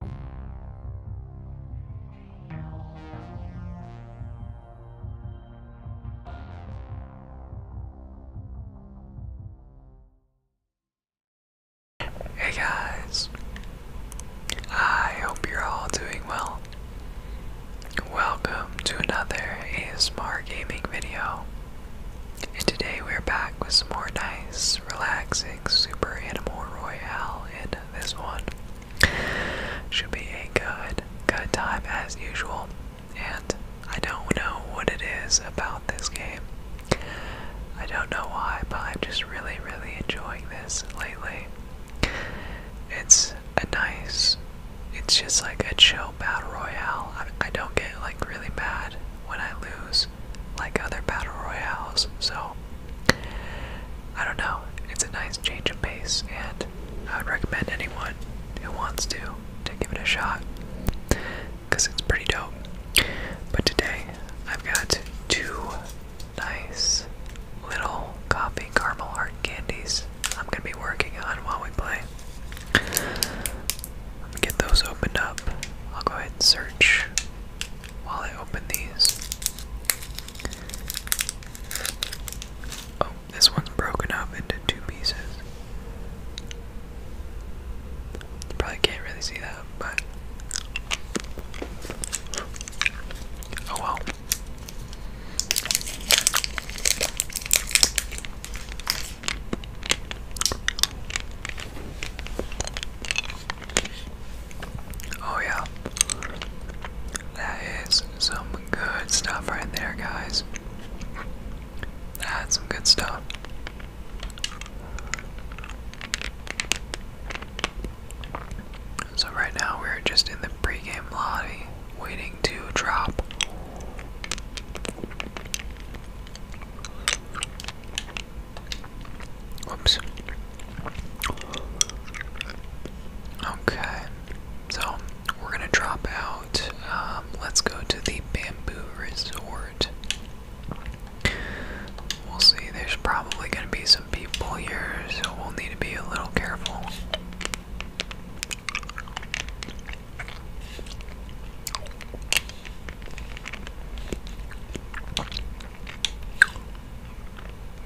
Hey guys, I hope you're all doing well. Welcome to another ASMR gaming video, and today we're back with some more nice, relaxing Super Animal Royale in this one. Should be a good, good time as usual. And I don't know what it is about this game. I don't know why, but I'm just really, really enjoying this lately. It's a nice, it's just like a chill battle royale. I, I don't get like really mad when I lose like other battle royales. So I don't know. It's a nice change of pace, and I would recommend anyone who wants to to give it a shot because it's pretty dope. But today I've got two nice little coffee caramel heart candies. I'm gonna be working on while we play. Let me get those opened up. I'll go ahead and search while I open these. Oh, this one's broken up into two pieces. probably can't really see that, but. Oh well. Oh, yeah. That is some good stuff right there, guys. That's some good stuff. So, right now, we're just in the pregame lobby waiting to drop. Oops. Okay, so we're gonna drop out. Um, let's go to the bamboo resort. We'll see, there's probably gonna be some people here, so we'll need to be a little careful.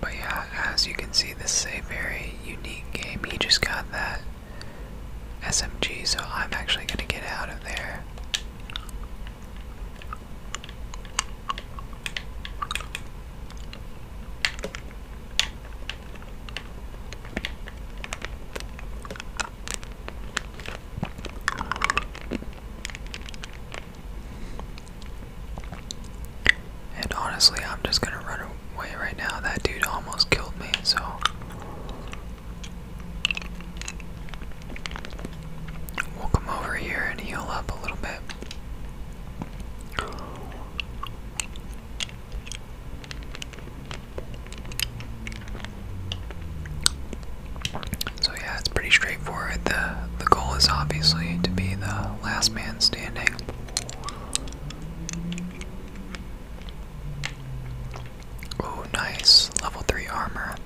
But yeah, as you can see, this is a very unique game. He just got that SMG, so I'm actually going to get out of there. And honestly, I'm just gonna run away right now. That dude almost killed me, so. We'll come over here and heal up a little bit. So yeah, it's pretty straightforward. The the goal is obviously to be the last man standing. Oh, nice. Level 3 armor.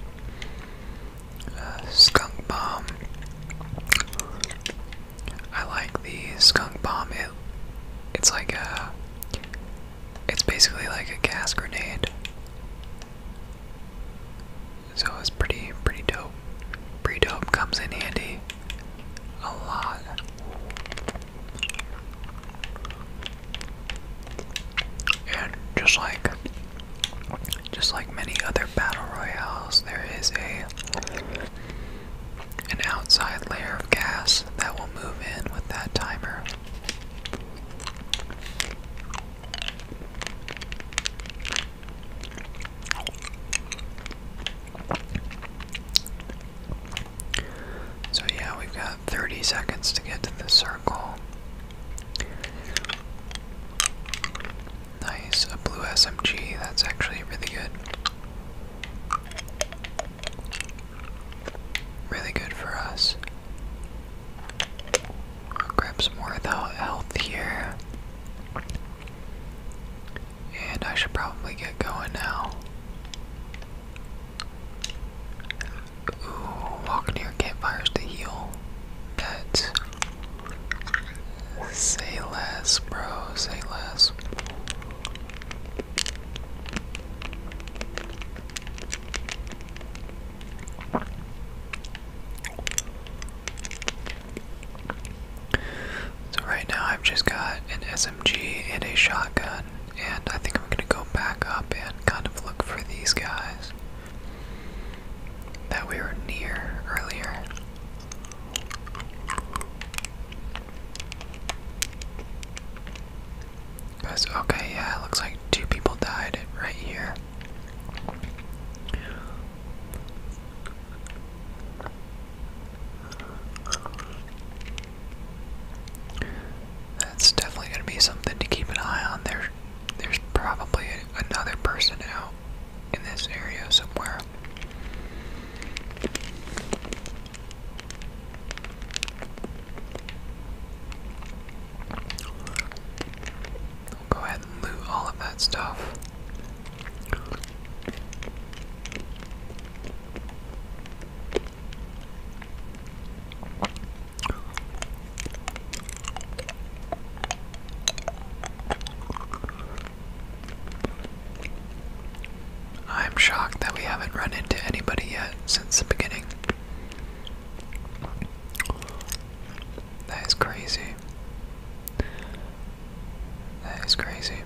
Uh, skunk bomb. I like the skunk bomb. It, it's like a. It's basically like a gas grenade. So it's pretty, pretty dope. Pretty dope comes in handy a lot. And just like, just like many other battle royales, there is a an outside layer of gas that will move in with that timer. So, yeah, we've got 30 seconds to get to the circle. Nice, a blue SMG, that's actually really good. Really good for us grab some more of the health here. And I should probably get going now. Ooh, walk near campfires to heal. That. Say less, bro. Say less. So right now I've just got an SMG and a shotgun, and I think I'm gonna go back up and kind of look for these guys that we were near earlier okay, yeah, it looks like two people died right here. That's definitely gonna be something to keep an eye on. There, there's probably another person out in this area somewhere go ahead and loot all of that stuff. I'm shocked that we haven't run into anybody yet since the beginning. That is crazy. That is crazy.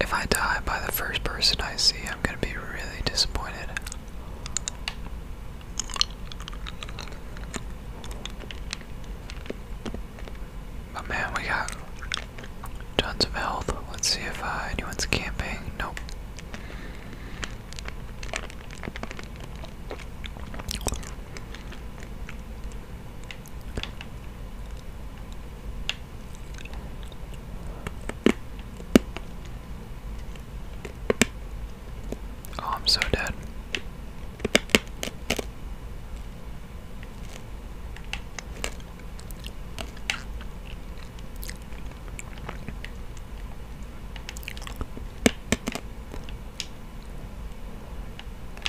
If I die by the first person I see, I'm gonna be really disappointed. But man, we got tons of health. Let's see if uh, anyone's camping. Nope. Oh, I'm so dead.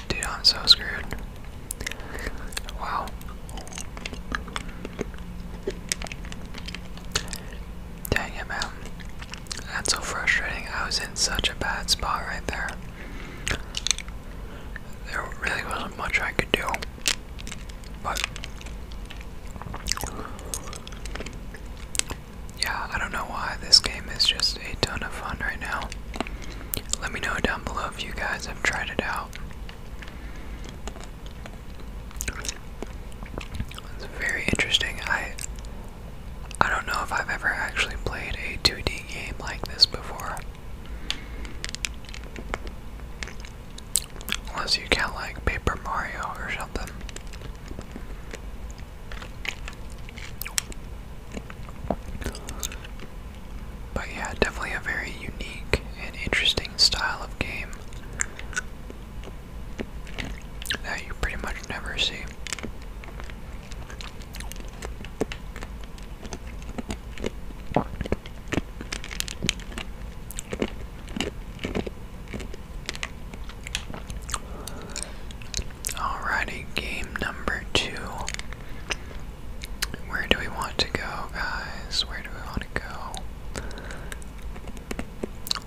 Dude, I'm so screwed. Wow. Dang it, man. That's so frustrating. I was in such a bad spot right there. There really wasn't much I could do. But yeah, I don't know why this game is just a ton of fun right now. Let me know down below if you guys have tried it out. It's very interesting. I I don't know if I've ever actually played a 2D game like this before. Unless you count like Paper Mario or something. But yeah, definitely a very unique and interesting style of game that you pretty much never see. Alrighty, game number two. Where do we want to go, guys? Where do we want to go?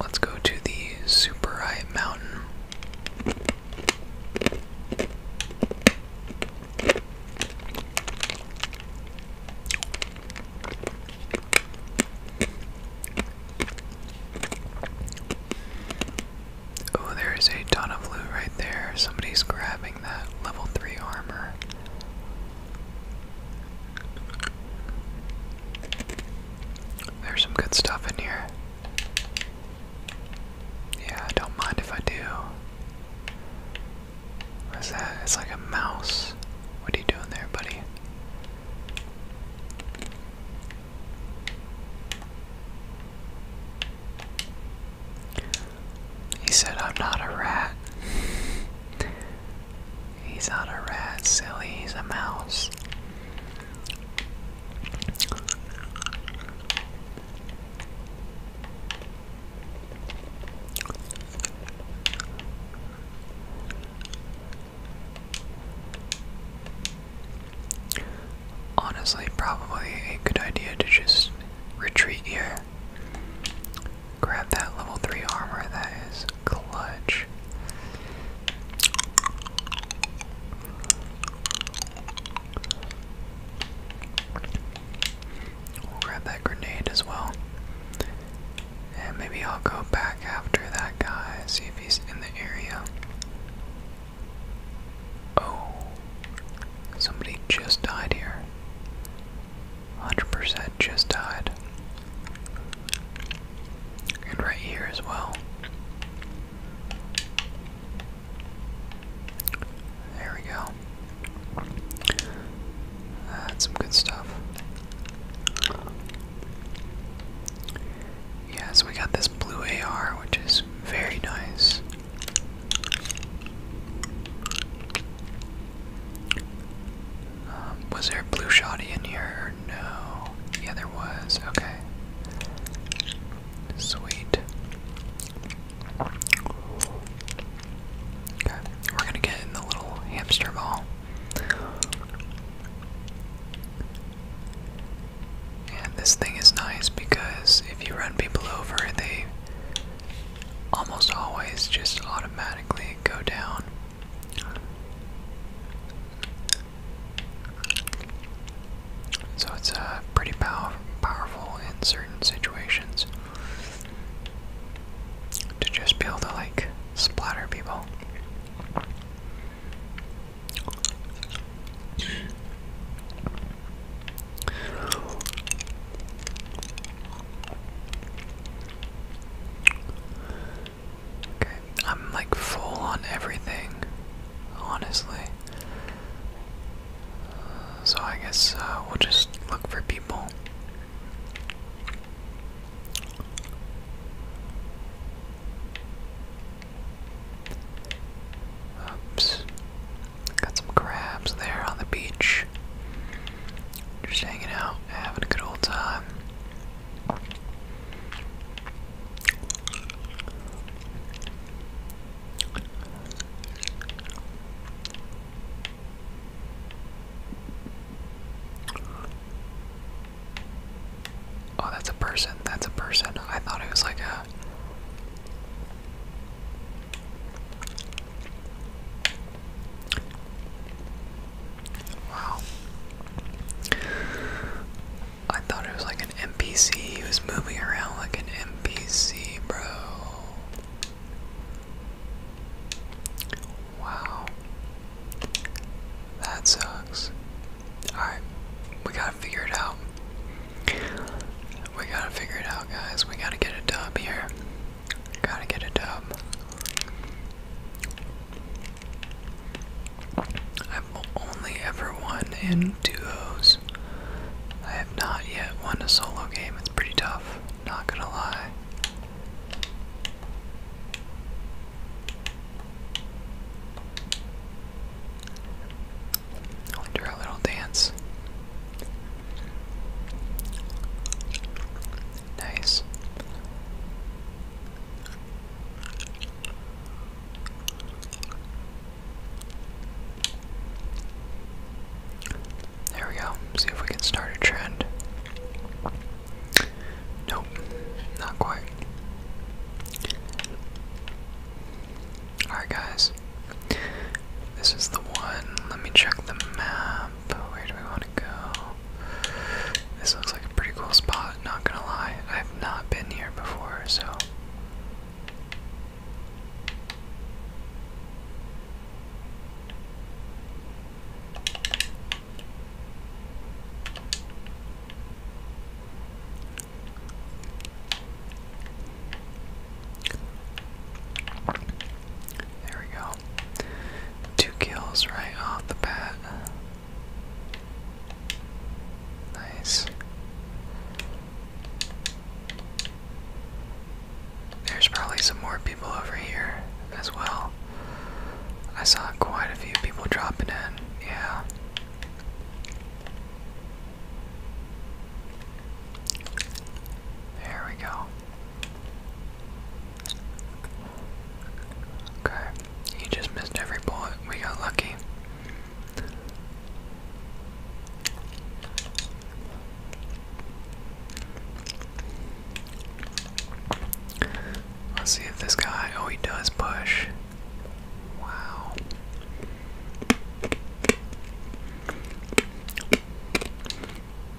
Let's go to the Super Hype Mountain. Oh, there is a ton of loot right there. Somebody's grabbing that level 3 armor. There's some good stuff in here. Yeah, don't mind if I do. What is that? It's like a mouse. What are you doing there, buddy? He said, I'm not a rat. He's not a rat, silly. He's a mouse. Honestly, probably a good idea to just retreat here. Grab that level 3 armor, that is clutch. We'll grab that grenade as well. And maybe I'll go back after that guy, see if he's in the area. Oh, somebody just died here. 100% just died. And right here as well. There we go. That's some good stuff. Yeah, so we got this blue AR, which is very nice. Um, was there a blue shoddy in here? No. Yeah, there was. Okay. Sweet. Okay, we're gonna get in the little hamster ball. And this thing is nice because if you run people over, they almost always just automatically go down. So it's uh, pretty pow powerful in certain situations to just be able to like splatter people. Okay, I'm like full on everything, honestly. so I guess uh, we'll just look for people. Oops. Got some crabs there on the beach. Just hanging out, having a good old time. Oh, that's a person. That's a person. I thought it was like a. Wow. I thought it was like an NPC. He was moving around like an NPC, bro. Wow. That sucks. Alright, we gotta figure it out. We gotta figure it out, guys. We gotta get a dub here. Gotta get a dub. I've only ever won in duos. I have not yet won a solo game. It's pretty tough tough, not gonna lie. i a little dance. Nice. There we go. See if we can start a trend. Nope, not quite. Alright, guys. This is the one. Let me check the map. Where do we want to go? This looks like a pretty cool spot, not gonna lie. I've not been here before, so there we go. Two kills right off the bat. Nice. There's probably some more people over here as well. I saw quite a few people dropping in, yeah. There we go. Okay, you just missed every bullet. We got lucky. Let's see if this guy. Oh, he does push. Wow.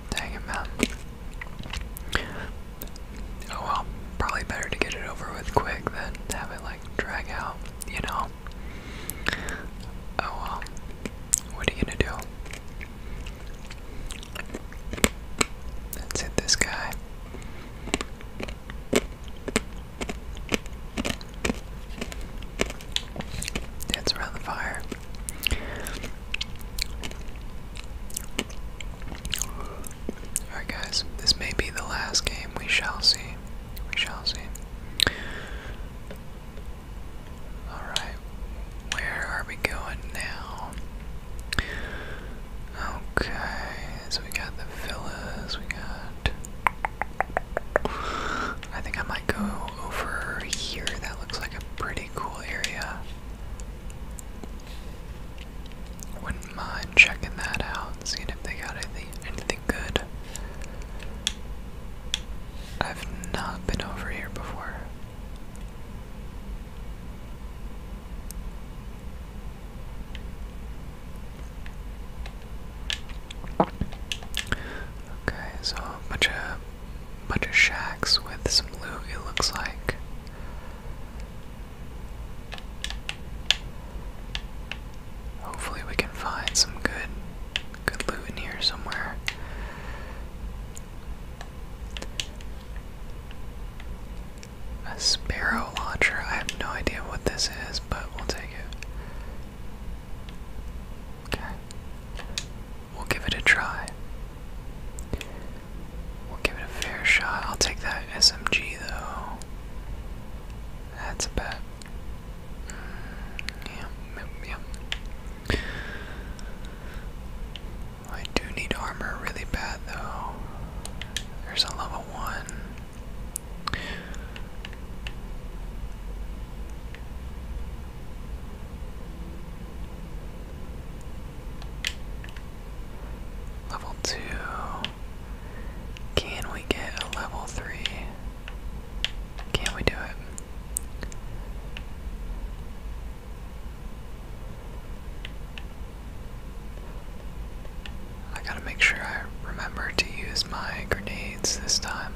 Dang it, man. Oh well, probably better to get it over with quick than have it like drag out, you know? Oh well. What are you gonna do? Let's hit this guy. Dance around the fire. Alright, guys, this may be the last game. We shall see. We shall see. Alright, where are we going now? Okay, so we got the villas, we got. I think I might go over here. That looks like a pretty cool area. Wouldn't mind checking that out, seeing if they got anything, anything good. I've not been over here before. Okay, so a bunch of bunch of shacks with some loot it looks like. Hopefully we can find some good good loot in here somewhere. A sparrow launcher. I have no idea what this is, but we'll take it. Okay. We'll give it a try. We'll give it a fair shot. I'll take that SMG though. That's a bet. Yeah, yeah, I do need armor really bad though. There's a level one. Level two. Can we get a level three? Can we do it? I gotta make sure I remember to use my grenades this time.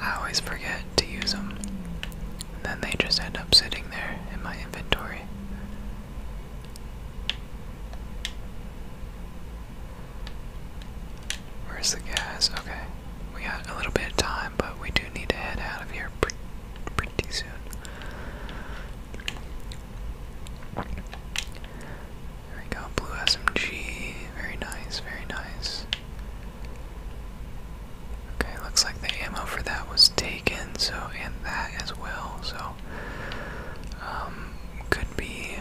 I always forget to use them, and then they just end up sitting there in my inventory. Where's the gas? Okay. We got a little bit of time, but we do need to head out of here pretty, pretty soon. There we go, blue SMG. Very nice, very nice. Okay, looks like the ammo for that was taken, so and that as well, so um, could be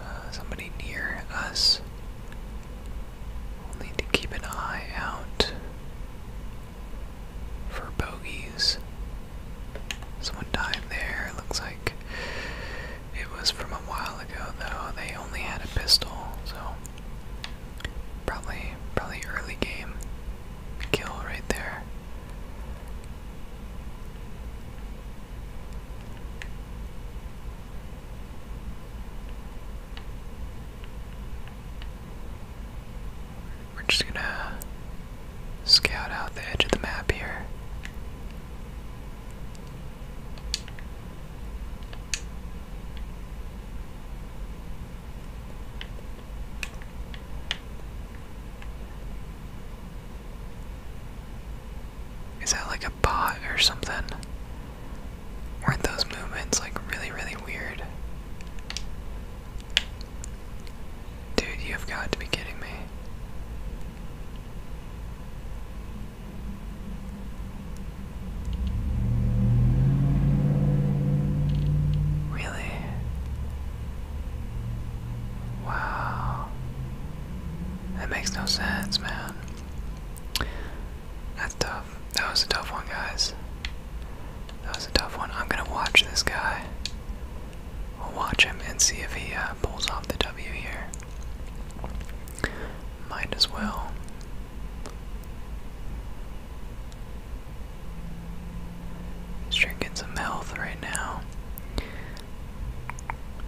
uh, somebody near us. need to keep an eye out for bogeys. Someone died there. Looks like it was from a while ago, though. They only had a pistol, so probably, probably early game kill right there. We're just gonna scout out the edge of the map here. Is that like a pot or something? Weren't those movements like really, really weird? Dude, you've got to be kidding me. Really? Wow. That makes no sense, man. That's tough. That was a tough one, guys. That was a tough one. I'm gonna watch this guy. We'll watch him and see if he uh, pulls off the W here. Might as well. He's drinking some health right now.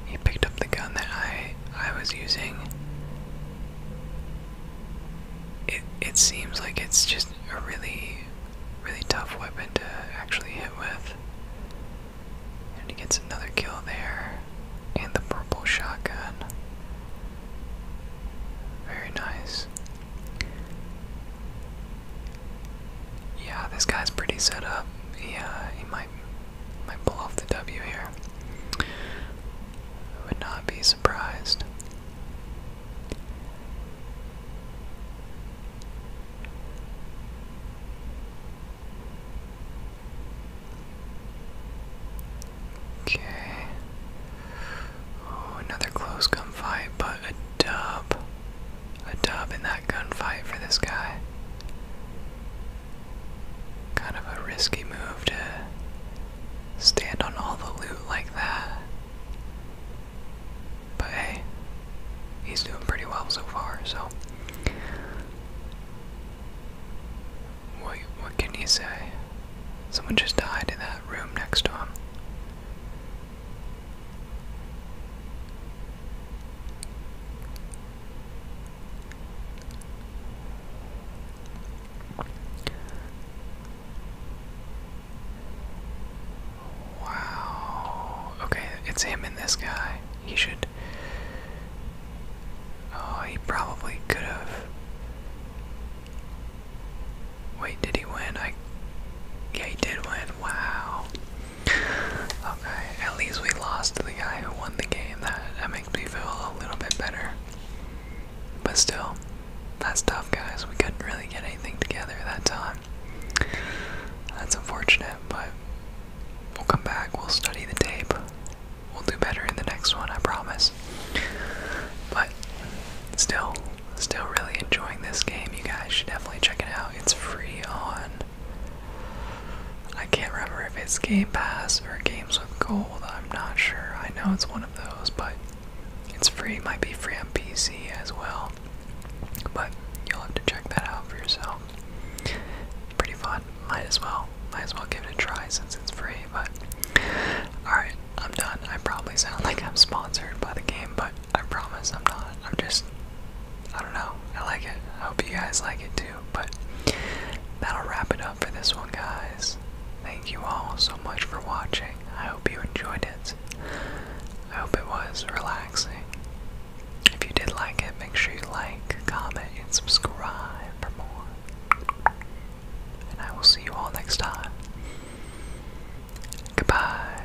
He picked up the gun that I I was using. It it seems like it's just a really really tough weapon to actually hit with. And he gets another kill there. And the purple shotgun. Very nice. Yeah, this guy's pretty set up. he, uh, he might might pull off the W here. I would not be surprised. Okay. Oh, another close gun fight, but a dub a dub in that gunfight for this guy. Kind of a risky move to stand on all the loot like that. But hey, he's doing pretty well so far, so. What, what can you say? Someone just died in that room next to him. Wow. Okay, it's him and this guy. He should. Oh, he probably could have. Wait, did he win? I. Yeah, he did win. Wow. Okay, at least we lost the guy who won the game. That that makes me feel a little bit better. But still, that's tough, guys. We couldn't really get anything together that time. That's unfortunate, but we'll come back. We'll study the tape. We'll do better in the next one, I promise. But still, still really enjoying this game. You guys should definitely check it out. It's free on I can't remember if it's Game Pass or Games with Gold. I'm not sure. I know it's one of those, but it's free. It might be free on PC as well. But you'll have to check that out for yourself. Pretty fun. Might as well. Might as well give it a try since it's free. But alright, I'm done. I probably sound like I'm sponsored by the game, but I promise I'm not. I'm just I don't know. I like it. I hope you guys like it too. But that'll wrap it up for this one, guys. Thank you all so much for watching. I hope you enjoyed it. I hope it was relaxing. If you did like it, make sure you like, comment, and subscribe for more. And I will see you all next time. Goodbye.